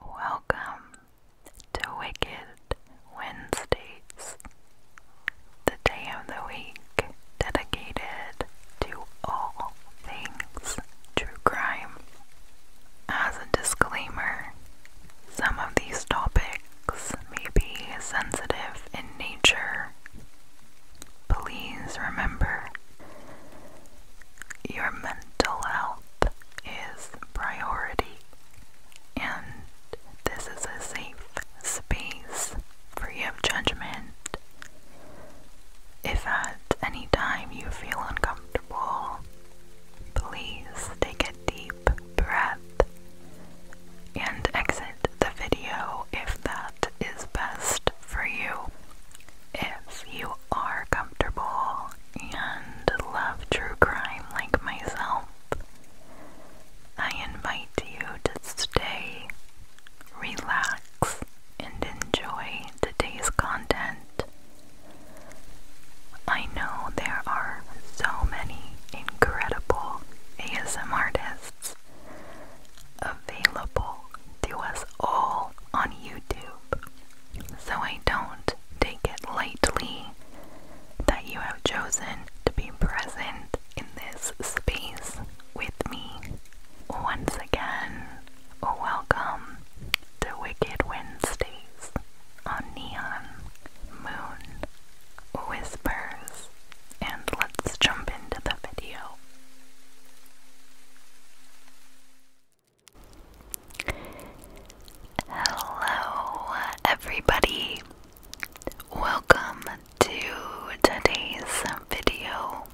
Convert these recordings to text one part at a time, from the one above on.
Welcome to Wicked Wednesdays, the day of the week dedicated to all things true crime. As a disclaimer, some of these topics may be sensitive in nature. Please remember your mental health is priority and this is a safe space free of judgment. If at any time you feel uncomfortable, please take a deep breath and exit the video if that is best for you. If you are comfortable and love true crime like myself, I invite you to stay, relax, and enjoy today's content. I know there are so many incredible ASM artists available to us all on YouTube. So I don't take it lightly that you have chosen to be present in this space with me. Once again, welcome to Wicked Wednesdays on Neon Moon Whispers, and let's jump into the video. Hello, everybody. Welcome to today's video.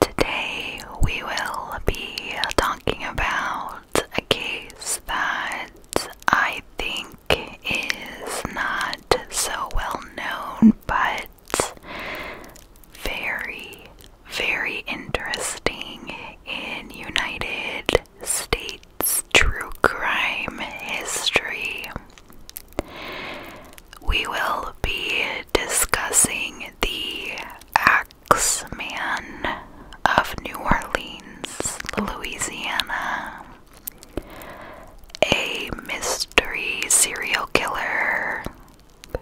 Today, we will be talking about a case that I think is not so well known, but very, very interesting in United States true crime history. We will be discussing the Axeman of New Orleans, Louisiana. A mystery serial killer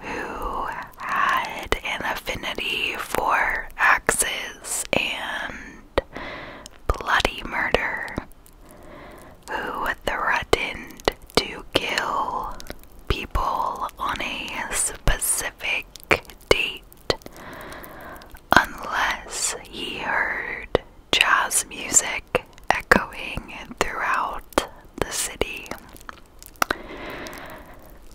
who had an affinity for axes and bloody murder, who threatened to kill people on a specific date unless he heard jazz music echoing throughout the city.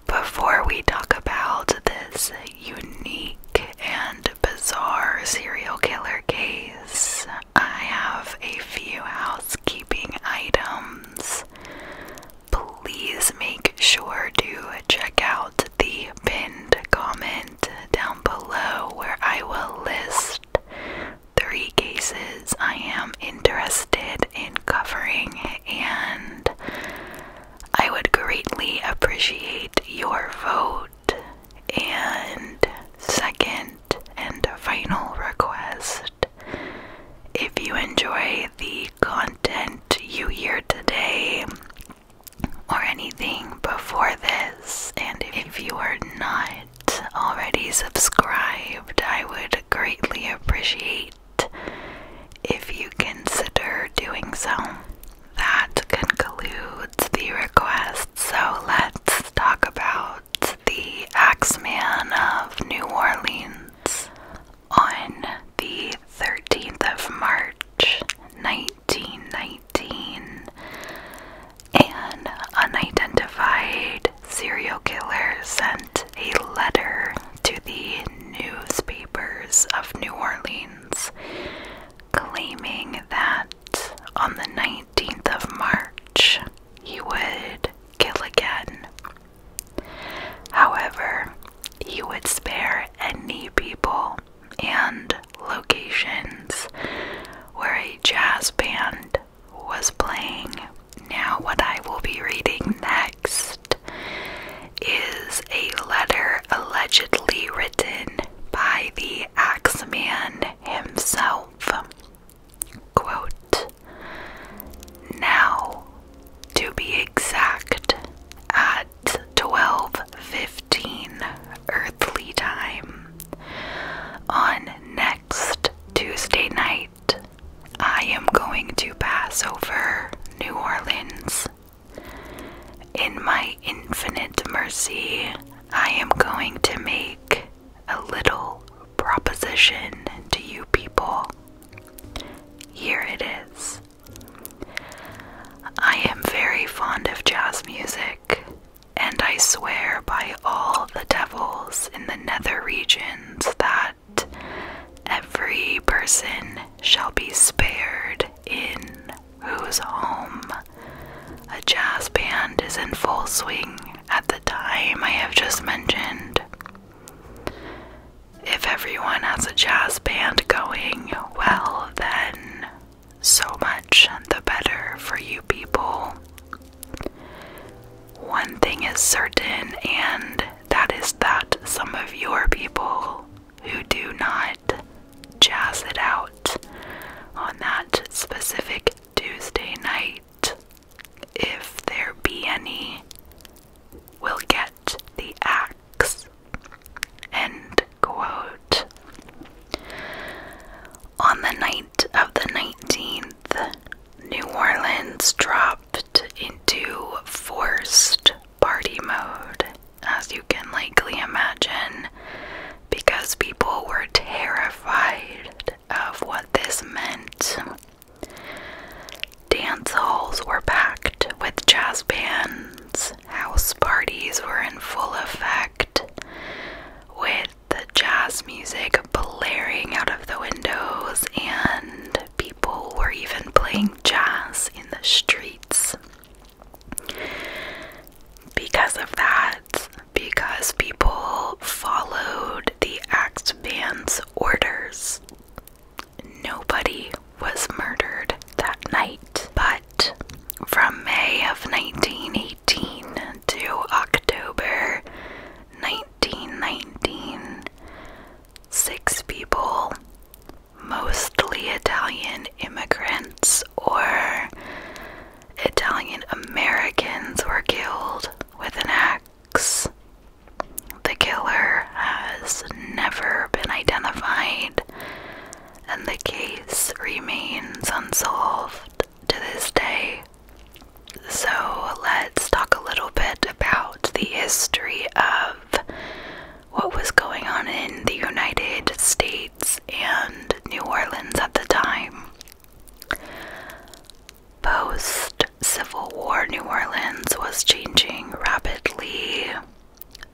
Before we talk about this unique and bizarre serial killer case, I have a few housekeeping items. Please make sure to check out the pinned comment down below where I will list three cases I am interested in covering, and I would greatly appreciate your vote. And second and final request if you enjoy the content you hear today or anything before this, and if you are not already subscribed, I would greatly appreciate if you consider doing so. That concludes the request, so let's talk about the Axeman of New Orleans. On the 13th of March 1919, and unidentified serial killer sent a letter to the newspapers of New Orleans claiming that on the 19th of March he would kill again. However, he would spare any people and locations where a jazz band was playing now, what I will be reading next is a letter allegedly written by the Axeman himself. Quote Now, to be exact, at 12:15 earthly time on next Tuesday night I am going to pass over New Orleans. In my infinite mercy, I am going to make a little proposition to you people. Here it is. I am very fond of jazz music, and I swear by all the devils in the nether region that every person shall be spared in whose home a jazz band is in full swing at the time I have just mentioned. If everyone has a jazz band going, well, then so much the better for you people. One thing is certain, and that is that some of your people who do not jazz it out on that specific Tuesday night, if there be any, will get the axe. End quote. On the night of the 19th, New Orleans dropped into forced party mode, as you can likely imagine, because people were terrified of what this meant. Dance halls were packed with jazz bands, house parties were in full effect, with the jazz music blaring out of the windows, and people were even playing jazz in the streets. Because of that, because people followed the Axe Band's orders, nobody was murdered that night. But from May of 1918 to October 19. 1919, six people, mostly Italian immigrants or Italian Americans, were killed with an axe. The killer has never been identified, and the case remains unsolved to this day. So let's talk a little bit about the history of what was going on in the United States and New Orleans at the time. Post Civil War, New Orleans was changing rapidly.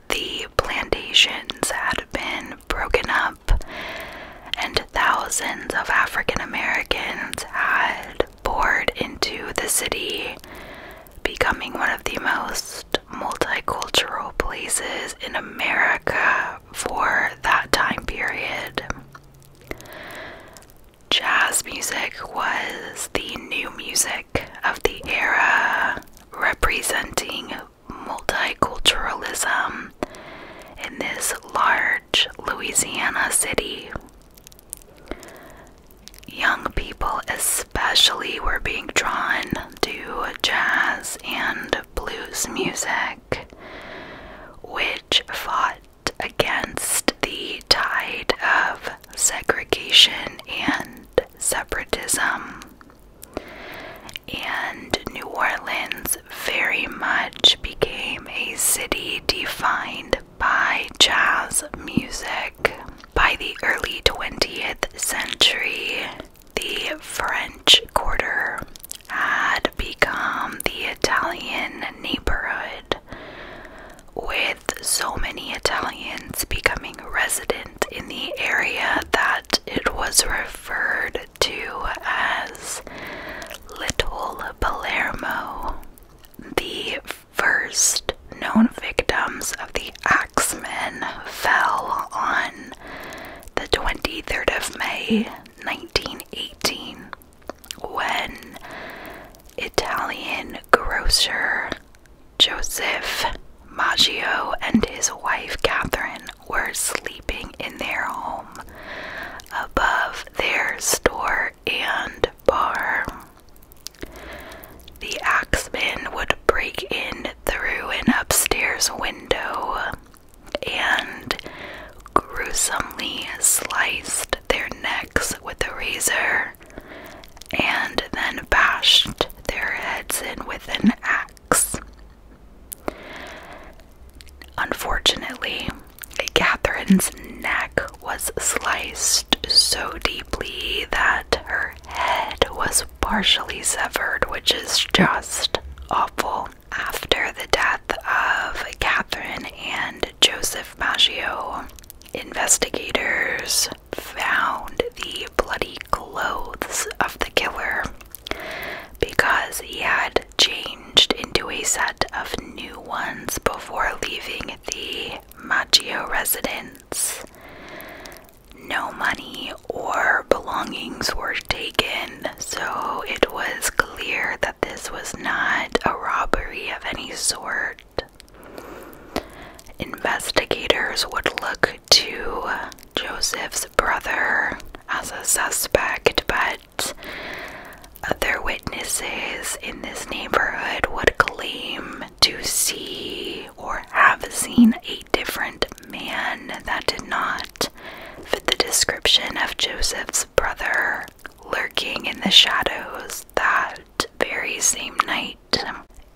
The plantations had been broken up, and thousands of African Americans had poured into the city, becoming one of the most multicultural places in America for that time period. Jazz music was the new music of the era, representing multiculturalism in this large Louisiana city. Young people, especially, were being drawn to jazz and blues music, which fought against the tide of segregation and separatism. And New Orleans very much became a city defined by jazz music. By the early 20th century, the French Quarter had become the Italian neighborhood, with so many Italians becoming resident in the area that it was referred to as Little Palermo. The first known victims of the Axemen fell on the 23rd of May 1918 when Italian grocer Joseph Maggio and his wife Catherine were sleeping in their home above their store and bar. The axemen would break in through an upstairs window and gruesomely sliced their necks with a razor and then bashed their heads in with an axe. Unfortunately, Catherine's neck was sliced so deeply that her head was partially severed, which is just awful. After the death of Catherine and Joseph Maggio, investigators found the bloody clothes of the killer because he had changed into a set of new ones before leaving the Maggio residence. No money or belongings were taken, so it was clear that this was not a robbery of any sort. Investigators would look to Joseph's brother as a suspect, but other witnesses in this neighborhood would claim to see or have seen a different man that did not fit the description of Joseph's brother lurking in the shadows that very same night.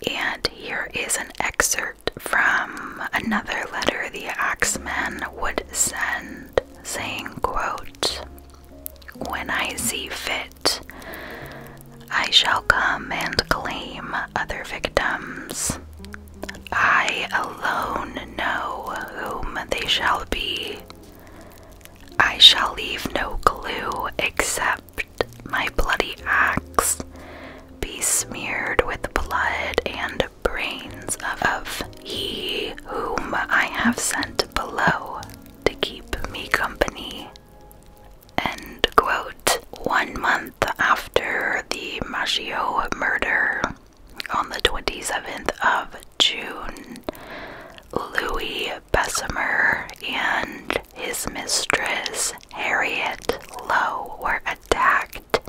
And here is an excerpt from another letter the axeman would send saying, quote, when I see fit, I shall come and claim other victims. I alone know whom they shall be. I shall leave no clue except my bloody axe be smeared with blood and brains of he whom I have sent below to keep me company. End quote. One month after the Machio murder, on the 27th of June, Louis Bessemer and his mistress Harriet Lowe were attacked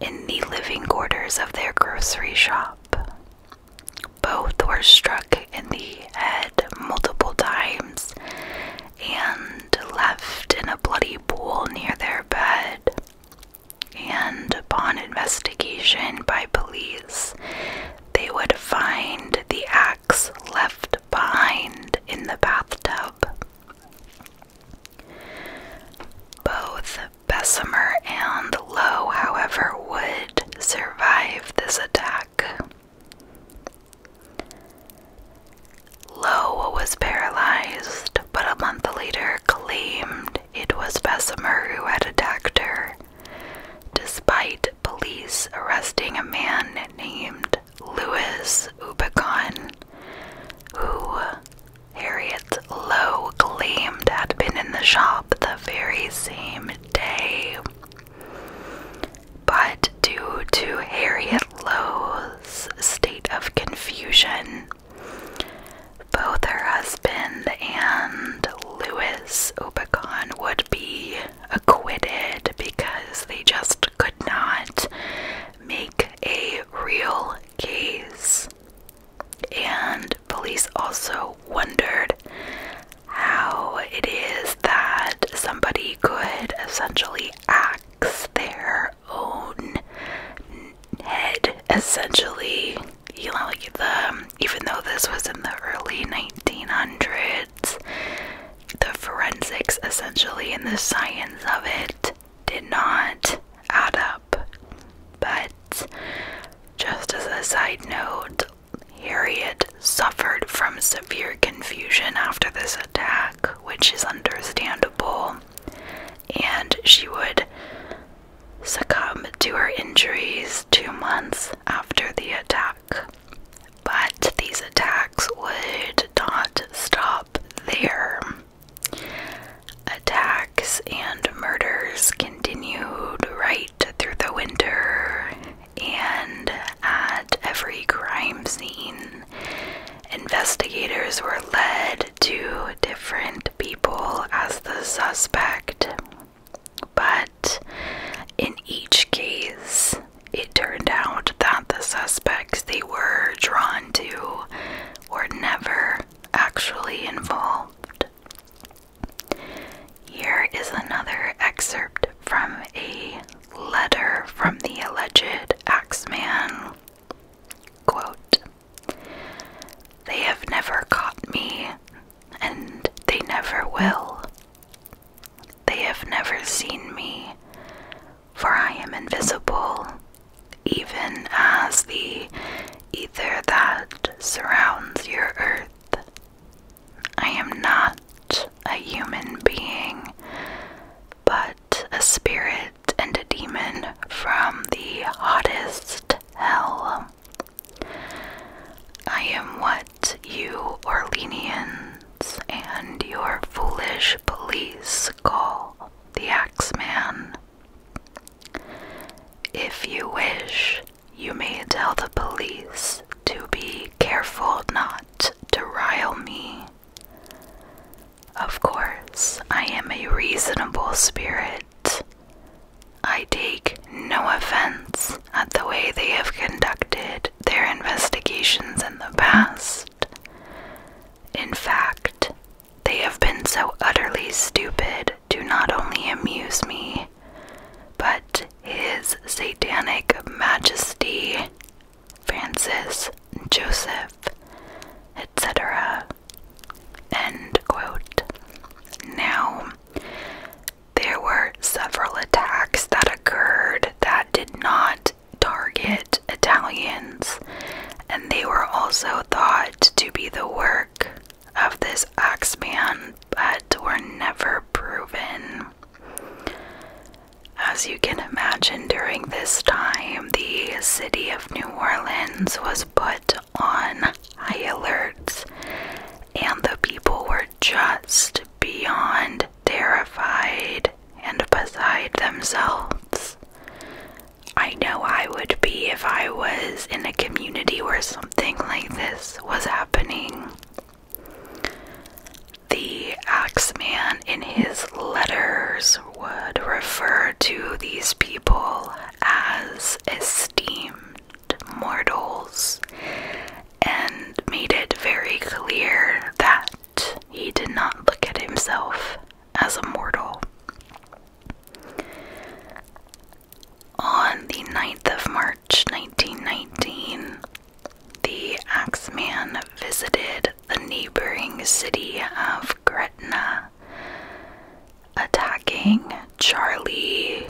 in the living quarters of their grocery shop. Both were struck in the head multiple times and left in a bloody pool near their bed. And upon investigation by police, they would find the axe left behind in the bathtub. Both Bessemer and Lowe, however, would survive survive this attack. Lowe was paralyzed, but a month later claimed it was Bessemer who had attacked her, despite police arresting a man named Louis Ubicon, who Harriet Lowe claimed had been in the shop the very same day but due to Harriet Lowe's state of confusion, both her husband and Louis Obicon would be acquitted because they just could not make a real case. And police also wondered how it is that somebody could essentially axe their own head, essentially. You know, even though this was in the early 1900s, the forensics essentially and the science of it did not add up. But just as a side note, Harriet suffered from severe confusion after this attack, which is understandable, and she would succumb to her injuries two months after the attack. But these attacks would not stop there. Attacks and murders continued right through the winter and at every crime scene. Investigators were led to different people as the suspect, but in each case, it turned out that the suspects they were drawn to were never actually involved. Here is another excerpt from a letter from the alleged axeman. Quote, They have never caught me, and they never will. They have never seen me, for I am invisible, even as the ether that surrounds your earth. I am not a human being, but a spirit and a demon from the hottest hell. I am what you Orleanians and your foolish police call the Axeman. If you wish, you may tell the police to be careful not to rile me. Of course, I am a reasonable spirit. I take no offense at the way they have conducted their investigations in the past. In fact, they have been so utterly stupid to not only amuse me, but his satanic majesty, Francis, Joseph, etc. End quote. Now, there were several attacks that occurred that did not target Italians, and they were also thought to be the work of this Axeman, but were never proven. As you can imagine, during this time, the city of New Orleans was put on high alert, and the people were just beyond terrified and beside themselves. I know I would be if I was in a community where something like this was happening. The axeman in his letters would refer to these people as esteemed mortals and made it very clear that he did not look at himself as a mortal. On the 9th of March 1919, the Axeman visited the neighboring city of Gretna, attacking Charlie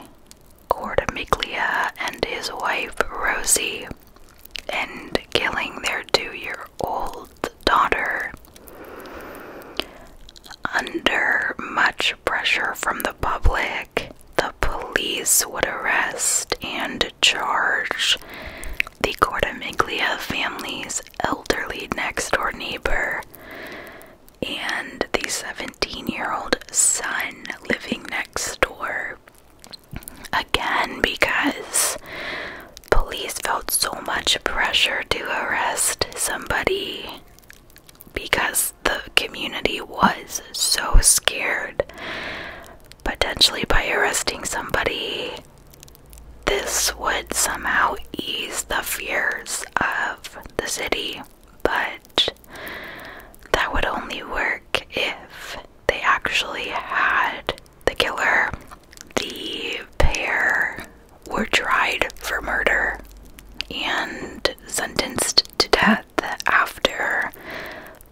Cordomiglia and his wife Rosie and killing their two year old daughter. Under much pressure from the public, the police would arrest and charge the Cordomiglia family's elderly next door neighbor and the 17 year old son living next door. Again, because police felt so much pressure to arrest somebody because the community was so scared, potentially by arresting somebody, this would somehow ease the fears of the city. But that would only work if they actually had the killer. The pair were tried for murder and sentenced to death. That after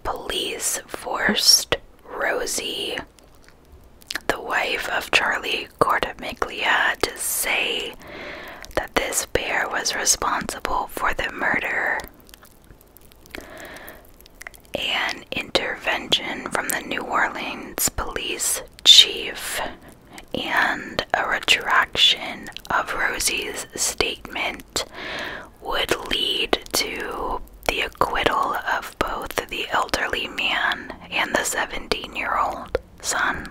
police forced Rosie, the wife of Charlie Cortamiglia, to say that this bear was responsible for the murder. An intervention from the New Orleans police chief and a retraction of Rosie's statement would lead to the acquittal of both the elderly man and the 17 year old son.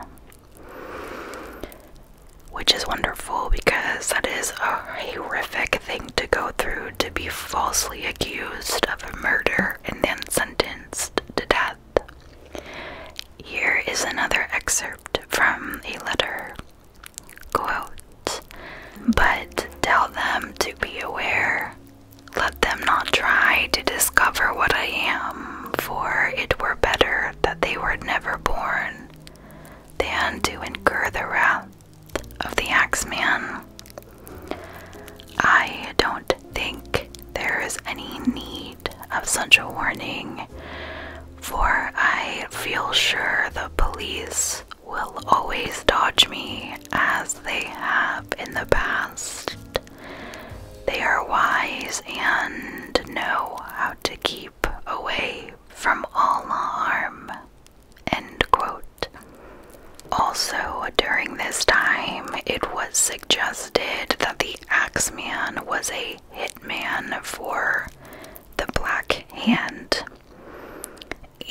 Which is wonderful because that is a horrific thing to go through to be falsely accused of a murder and then sentenced to death. Here is another excerpt from a letter but tell them to be aware. Let them not try to discover what I am, for it were better that they were never born than to incur the wrath of the axeman. I don't think there is any need of such a warning, for I feel sure the police will always dodge me as they have in the past. They are wise and know how to keep away from all harm. End quote. Also, during this time, it was suggested that the Axeman was a hitman for the Black black hand.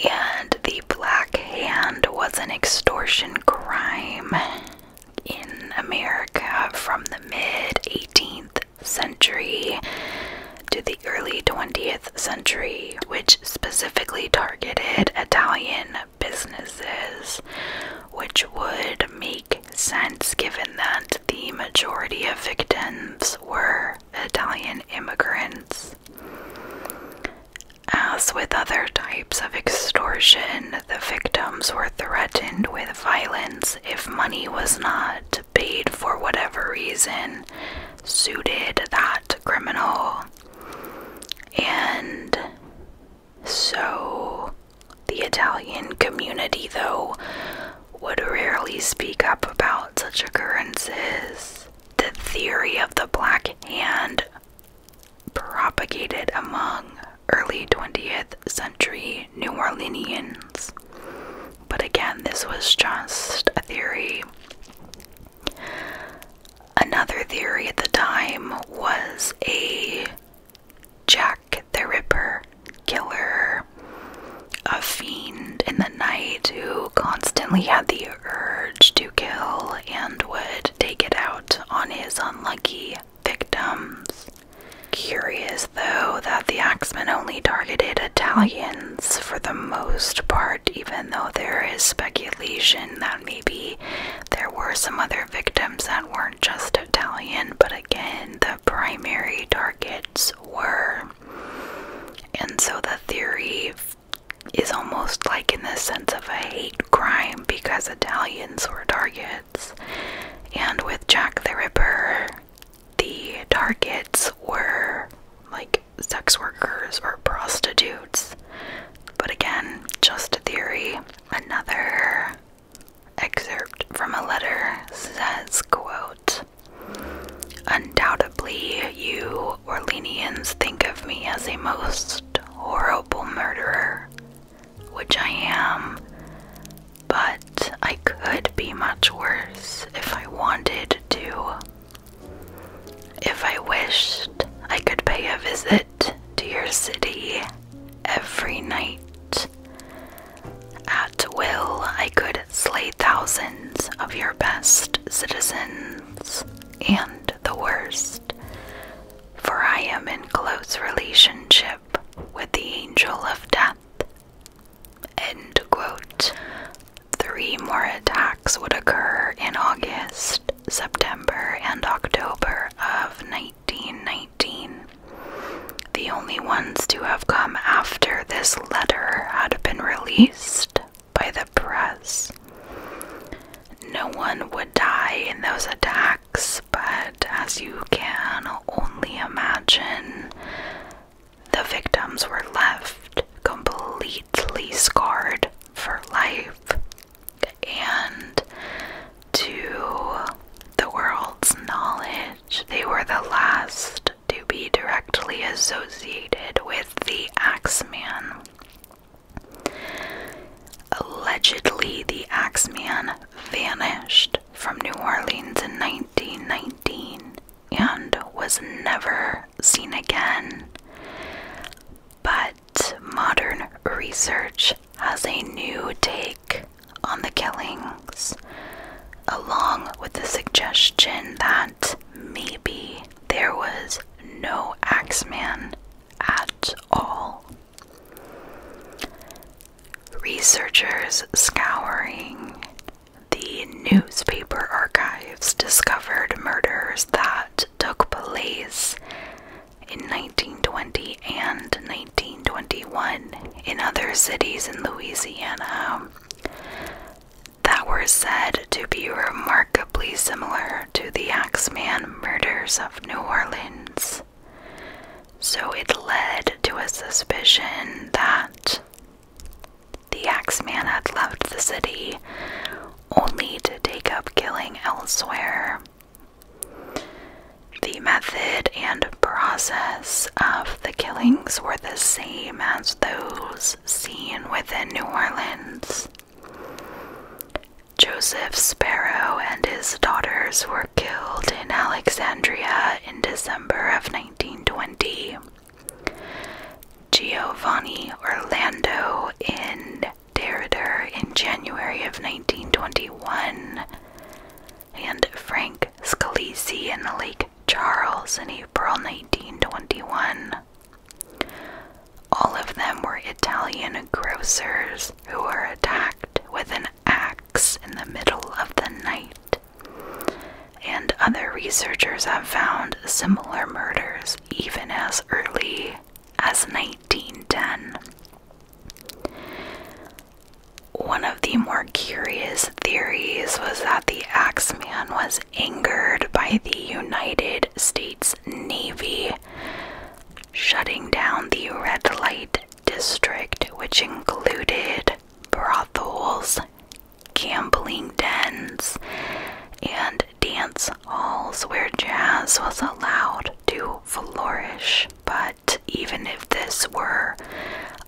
And the black hand was an extortion crime in America from the mid 18th century to the early 20th century, which specifically targeted Italian businesses, which would make sense given that the majority of victims were Italian immigrants. As with other types of extortion, the victims were threatened with violence if money was not paid for whatever reason suited that criminal. And so the Italian community, though, would rarely speak up about such occurrences. The theory of the Black Hand, propagated among early 20th century New Orleanians. But again, this was just a theory. Another theory at the time was a Jack the Ripper killer, a fiend in the night who constantly had the urge to kill and would take it out on his unlucky victims. Curious though that the Axemen only targeted Italians for the most part, even though there is speculation that maybe there were some other victims that weren't just Italian, but again, the primary targets were and so the theory is almost like in the sense of a hate crime because Italians were targets. And with Jack the Ripper, the targets were like sex workers or prostitutes. But again, just a theory. Another excerpt from a letter says, quote, Undoubtedly, you Orleanians think of me as a most horrible murderer, which I am, but I could be much worse if I wanted to. If I wished, I could pay a visit to your city every night at will I could slay thousands of your best citizens and the worst, for I am in close relationship with the angel of death. End quote. Three more attacks would occur in August, September, and October of 1919. The only ones to have come after this letter had been released by the press. No one would die in those attacks, but as you can only imagine, the victims were left completely scarred for life and to the world's knowledge, they were the last to be directly associated with the Axeman. Allegedly, the Axeman vanished from New Orleans in 1919 and was never seen again. But modern research has a new take on the killing along with the suggestion that maybe there was no Axeman at all. Researchers scouring the newspaper archives discovered murders that took place in 1920 and 1921 in other cities in Louisiana that were said to be remarkably similar to the Axeman murders of New Orleans. So it led to a suspicion that the Axeman had left the city only to take up killing elsewhere. The method and process of the killings were the same as those seen within New Orleans. Joseph Sparrow and his daughters were killed in Alexandria in December of 1920. Giovanni Orlando in Derrida in January of 1921, and Frank Scalisi in the Lake. Charles in April 1921. All of them were Italian grocers who were attacked with an axe in the middle of the night. And other researchers have found similar murders even as early as 1910. One of the more curious theories was that the Axeman was angered by the United States Navy shutting down the red light district, which included brothels, gambling dens, and dance halls where jazz was allowed to flourish. But even if this were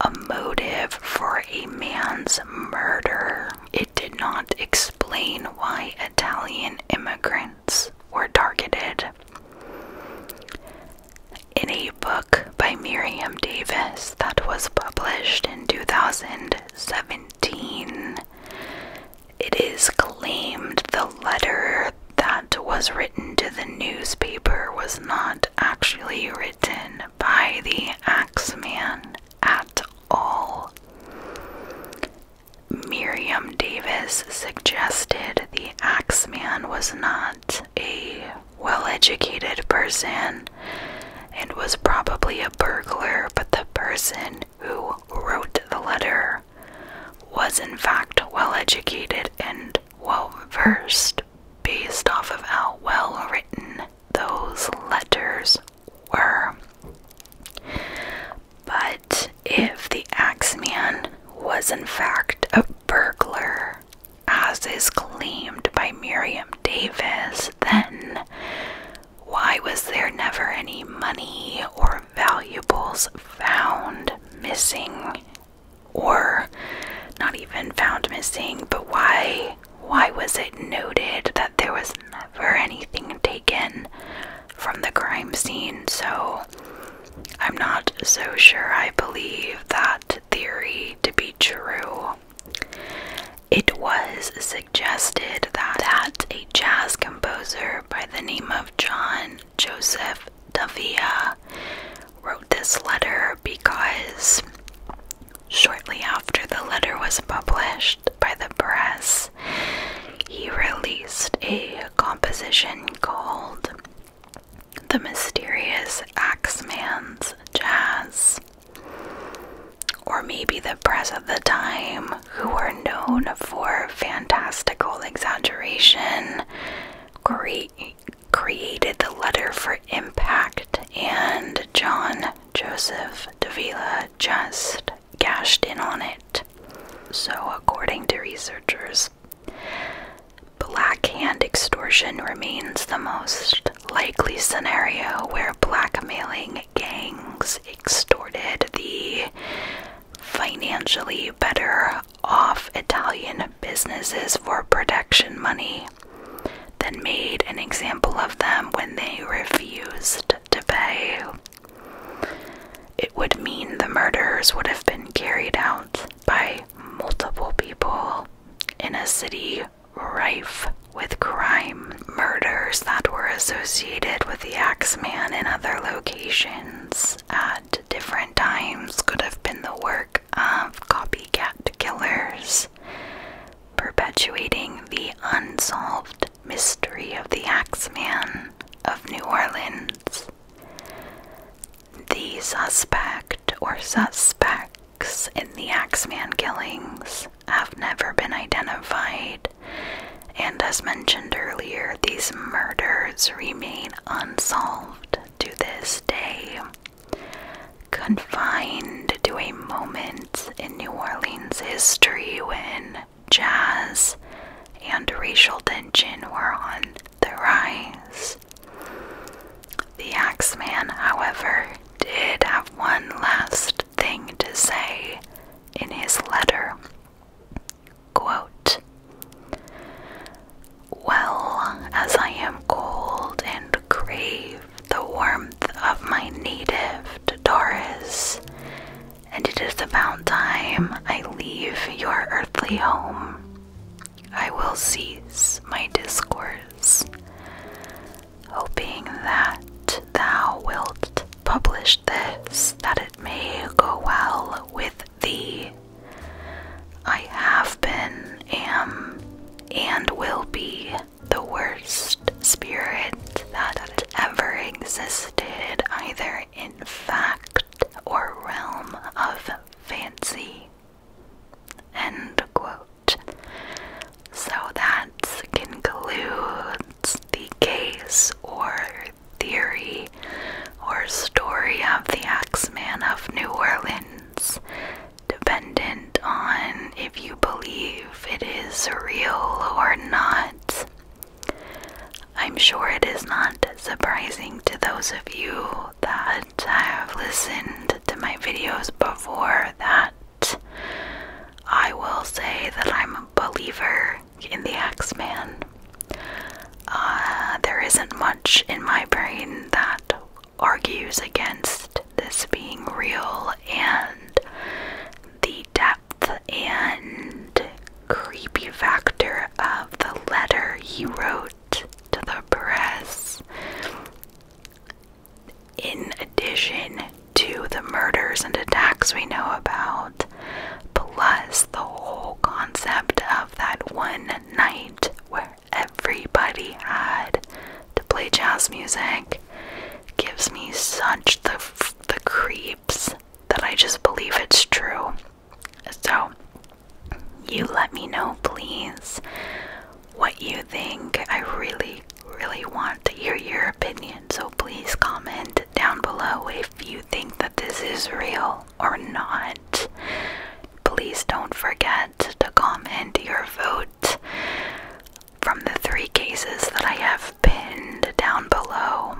a motive for a man's murder. It did not explain why Italian immigrants were targeted. In a book by Miriam Davis that was published in 2017, it is claimed the letter that was written to the newspaper was not actually written by the Axeman at all. Miriam Davis suggested the Axeman was not a well educated person and was probably a burglar, but the person who wrote the letter was in fact well educated and well versed based off of how well written those letters were. But if the Axeman was in fact a burglar, as is claimed by Miriam Davis, then why was there never any money or valuables found missing? Or not even found missing, but why why was it noted that there was never anything taken from the crime scene? So I'm not so sure I believe that theory to be true. It was suggested that a jazz composer by the name of John Joseph Davia wrote this letter because Shortly after the letter was published by the press, he released a composition called The Mysterious Axeman's Jazz. Or maybe the press of the time, who were known for fantastical exaggeration, created the letter for impact, and John Joseph Davila just cashed in on it. So, according to researchers, black hand extortion remains the most likely scenario where blackmailing gangs extorted the financially better off Italian businesses for protection money then made an example of them when they refused to pay. It would mean the murders would have been carried out by multiple people in a city rife with crime, murders that were associated with the Axeman in other locations at different times could have been the work of copycat killers perpetuating the unsolved mystery of the Axeman of New Orleans. The suspect or suspects in the Axeman killings have never been identified, and as mentioned earlier, these murders remain unsolved to this day. Confined to a moment in New Orleans history when jazz and racial tension were on the rise. The Axeman, however, did have one last thing to say in his letter. Quote, well, as I am cold and grave." the warmth of my native Doris, and it is about time I leave your earthly home. I will cease my discourse, hoping that thou wilt publish this, that it may go well with thee. I have been, am, and will be the worst spirit that ever existed, either in fact or realm of fancy. End quote. So that concludes the case or theory or story of the Axeman of New Orleans dependent on if you believe it is real or not. I'm sure it is not surprising to those of you that have listened to my videos before that I will say that I'm a believer in the X-Man. Uh, there isn't much in my brain that argues against this being real and the depth and creepy factor of the letter he wrote to the press. In addition to the murders and attacks we know about, plus the whole concept of that one night where everybody had to play jazz music gives me such the the creeps that I just believe it's true. So, you let me know, please, what you think. I really, really want to hear your opinion. So, please comment down below if you think that this is real or not. Please don't forget to comment your vote from the three cases that I have pinned down below.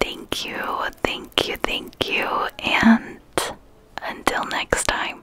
Thank you, thank you, thank you, and until next time.